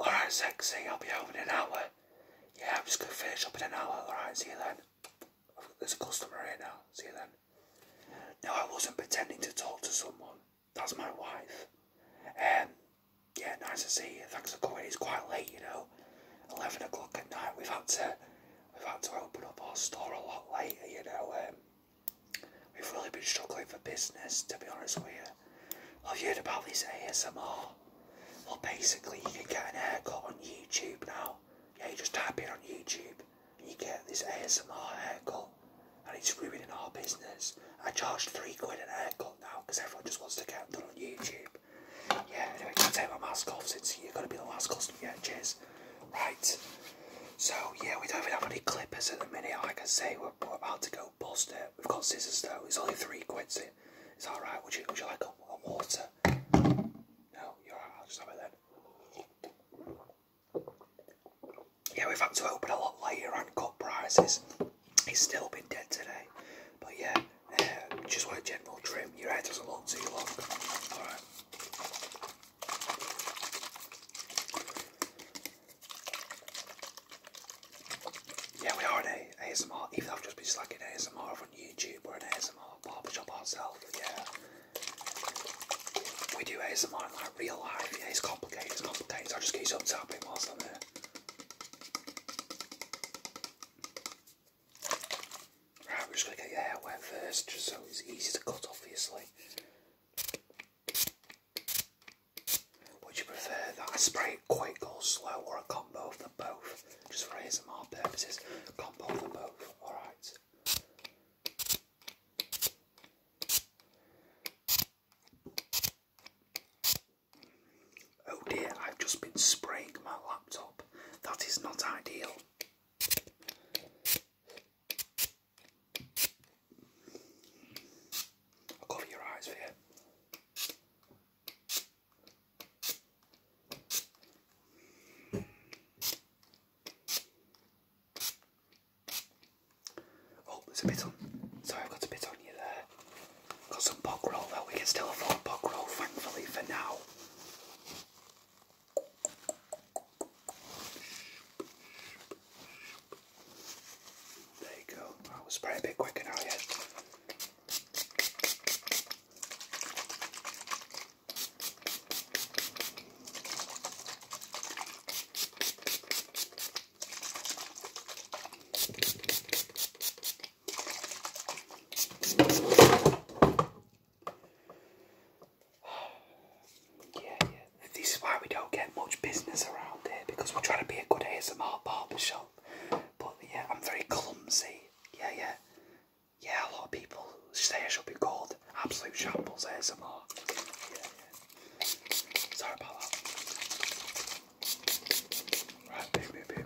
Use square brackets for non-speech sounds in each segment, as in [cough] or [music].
Alright, sexy, I'll be home in an hour. Yeah, I'm just gonna finish up in an hour. Alright, see you then. There's a customer here now. See you then. No, I wasn't pretending to talk to someone. That's my wife. Um, yeah, nice to see you. Thanks for coming. It's quite late, you know. Eleven o'clock at night. We've had to, we've had to open up our store a lot later, you know. Um, we've really been struggling for business, to be honest with you. I've heard about this ASMR. Well, basically, you can get an haircut on YouTube now. Yeah, you just type in on YouTube and you get this ASMR haircut, and it's ruining our business. I charge three quid an haircut now because everyone just wants to get them done on YouTube. Yeah, anyway, can take my mask off since you're gonna be the last customer. Yeah, cheers. Right. So yeah, we don't even have any clippers at the minute. I can say, we're, about to go bust it. We've got scissors though. It's only three quids. It's all right. Would you like a, water? No, you're all right. I'll just have it then. Yeah, we've had to open a lot later and cut prices. He's still been dead today, but yeah, um, just want a general trim. Your hair doesn't look too long. All right. Yeah, we are a ASMR, even though I've just been just like an ASMR on YouTube, we're an ASMR barbershop ourselves, yeah. We do ASMR in like real life, yeah, it's complicated, it's complicated, so I'll just keep some tapping whilst I'm there. Right, we're just gonna get your hair wet first, just so it's easy to cut, obviously. Would you prefer that I spray it quick or slow or a combo of them both? Just for ASMR purposes, combo of them both, alright. Oh dear, I've just been spraying my laptop. That is not ideal i cover your eyes for Oh, there's a bit on. Sorry, I've got a bit on you there. Got some bog roll though. We can still afford bog roll, thankfully, for now. There you go. I was spraying a bit quicker now, yeah. Yeah, yeah. This is why we don't get much business around here because we're trying to be a good ASMR barber shop. But yeah, I'm very clumsy. Yeah, yeah. Yeah, a lot of people say I should be called Absolute Shambles ASMR. Sorry about that. Right, boom, boom, boom.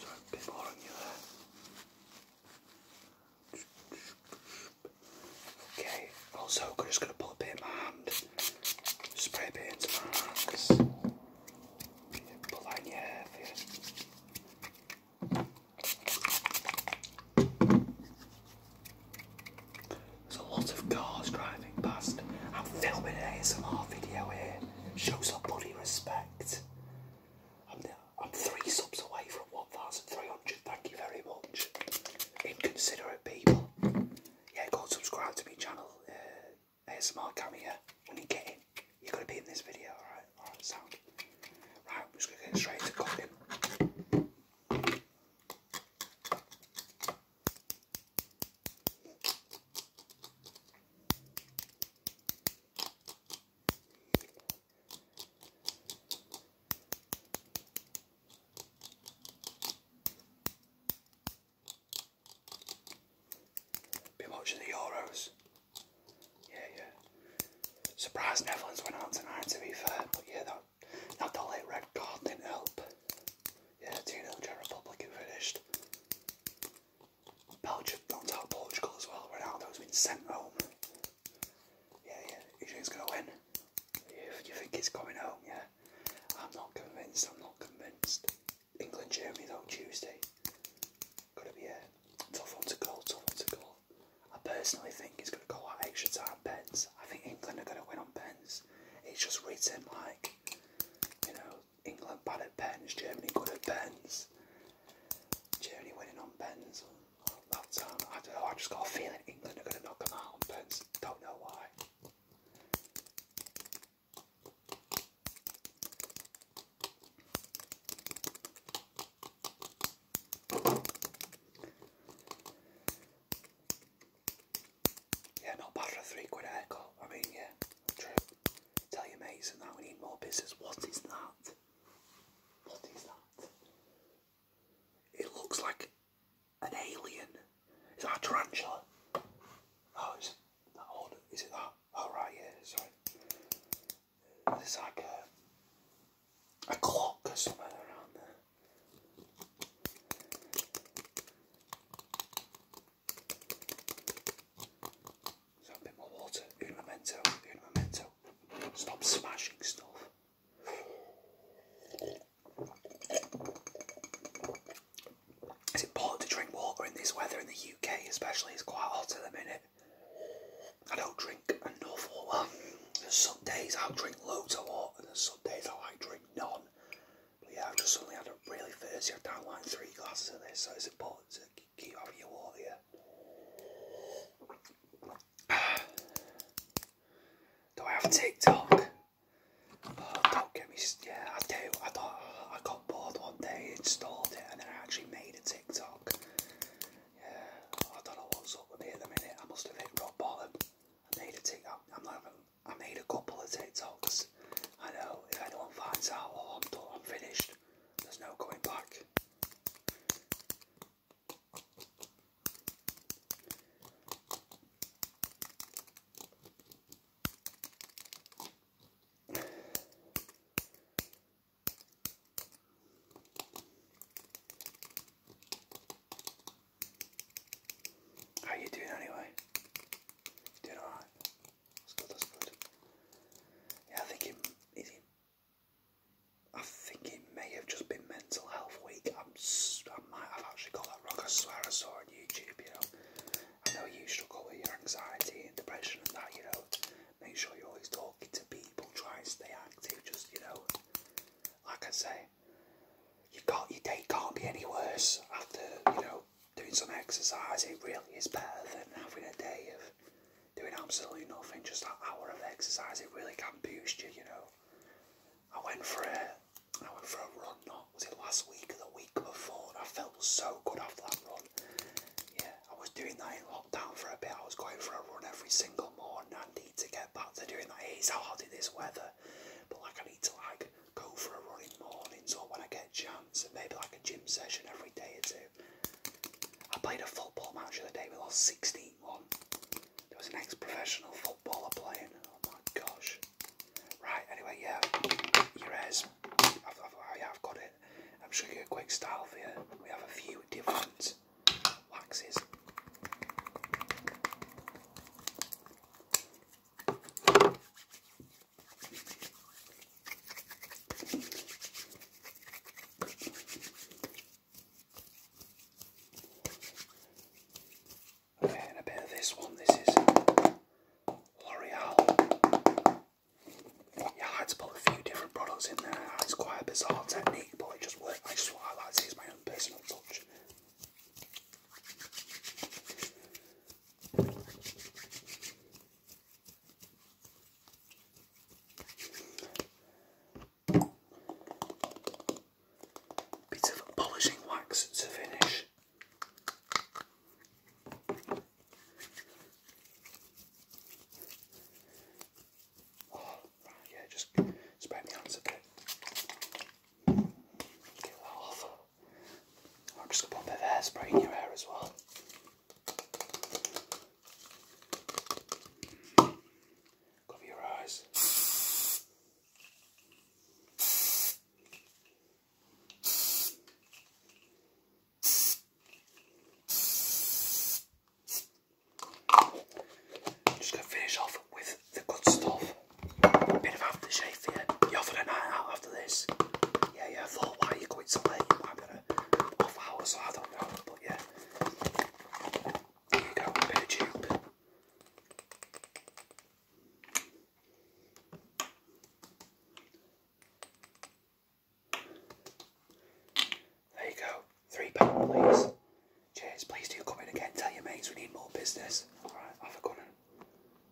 Sorry, a bit more you there. Okay, also I'm just going to put a bit in my hand, spray a bit into my hands, put that your hair There's a lot of cars driving past. I'm filming an ASMR video here. Show some bloody respect. I'm, I'm three subs away from 1,000 300. Thank you very much. Inconsiderate people. Yeah, go and subscribe to my channel. Uh, ASMR Camera. When you get in, you're going to be in this video. Alright, alright, sound. Right, I'm just going to get straight to cooking. Been watching the Euros. Yeah, yeah. Surprised Netherlands went out tonight to be fair, but yeah, that, that late red card didn't help. Yeah, 2 0 Czech Republic and finished. Belgium knocked out Portugal as well. Ronaldo's been sent home. Yeah, yeah, you sure going to win? you think he's coming home, yeah? I'm not convinced, I'm not convinced. England, Germany though, Tuesday. Gonna be tough one to call, tough one to call. I personally think it's gonna go out extra time pens. I think England are gonna win on pens. It's just written like, you know, England bad at pens, Germany good at pens. Germany winning on pens. That, um, I just got a feeling England are going to knock them out but pens. Don't know why. Yeah, not bad for a three quid haircut. I mean, yeah, true. Tell your mates and that we need more business. What is that? What is that? It looks like an alien. Is that a tarantula? Oh, is that odd? Is it that? Oh, right, yeah, sorry. There's like a clock or something around there. So a bit more water. Uno memento, uno memento. Stop smashing stuff. It's important to drink water in this weather in the UK, especially. It's quite hot at the minute. I don't drink enough water. There's some days i drink loads of water, and there's some days I drink none. But yeah, I've just suddenly had a really thirsty. I've down like three glasses of this, so it's important to [sighs] Do I have TikTok? Oh, don't get me. Yeah, I do. I do I got bored one day, installed it, and then I actually made a TikTok. Yeah, I don't know what's up with me at the minute. I must have hit rock I made a TikTok. I'm not even. I made a couple of TikToks. I know. If anyone finds out, or oh, I'm done. I'm finished. There's no going back. How you doing anyway? Doing alright? That's good, that's good. Yeah, I think he, he I think it may have just been Mental Health Week. i might have actually got that wrong. I swear I saw on YouTube, you know. I know you should call it your anxiety and depression and that, you know. Make sure you're always talking to people. Try and stay active. Just, you know, like I say, you got your day can't be any worse after, you know, doing some exercise. It really is better than having a day of doing absolutely nothing, just that hour of exercise, it really can boost you, you know. I went for a I went for a run not was it last week or the week before and I felt so good after that run. Yeah, I was doing that in lockdown for a bit. I was going for a run every single morning. I need to get back to doing that. It's hard in this weather. But like I need to like go for a run in the mornings or when I get so maybe like a gym session every day or two. I played a football match the other day, we lost 16 1. There was an ex professional footballer playing. Oh my gosh. Right, anyway, yeah, your ears. I've, yeah, I've got it. I'm just going to a quick style here. We have a few different waxes. Okay, and a bit of this one. This is L'Oreal. Yeah, I had to put a few different products in there. It's quite a bizarre technique, but it just worked. I just want to highlight to as my own personal touch. Bit of polishing wax to finish. Oh, yeah, just spread my hands bit. I'm just going to put a bit of hairspray in your hair as well. Cover your eyes. Just going to finish off with the good stuff. bit of aftershave you. are for a night after this. Yeah, yeah, thought, why are you going so late? You might be a off hours, I don't know, but yeah. Here you go, bit of tube. There you go, three pound please. Cheers, please do come in again, tell your mates we need more business. Alright, have a good one.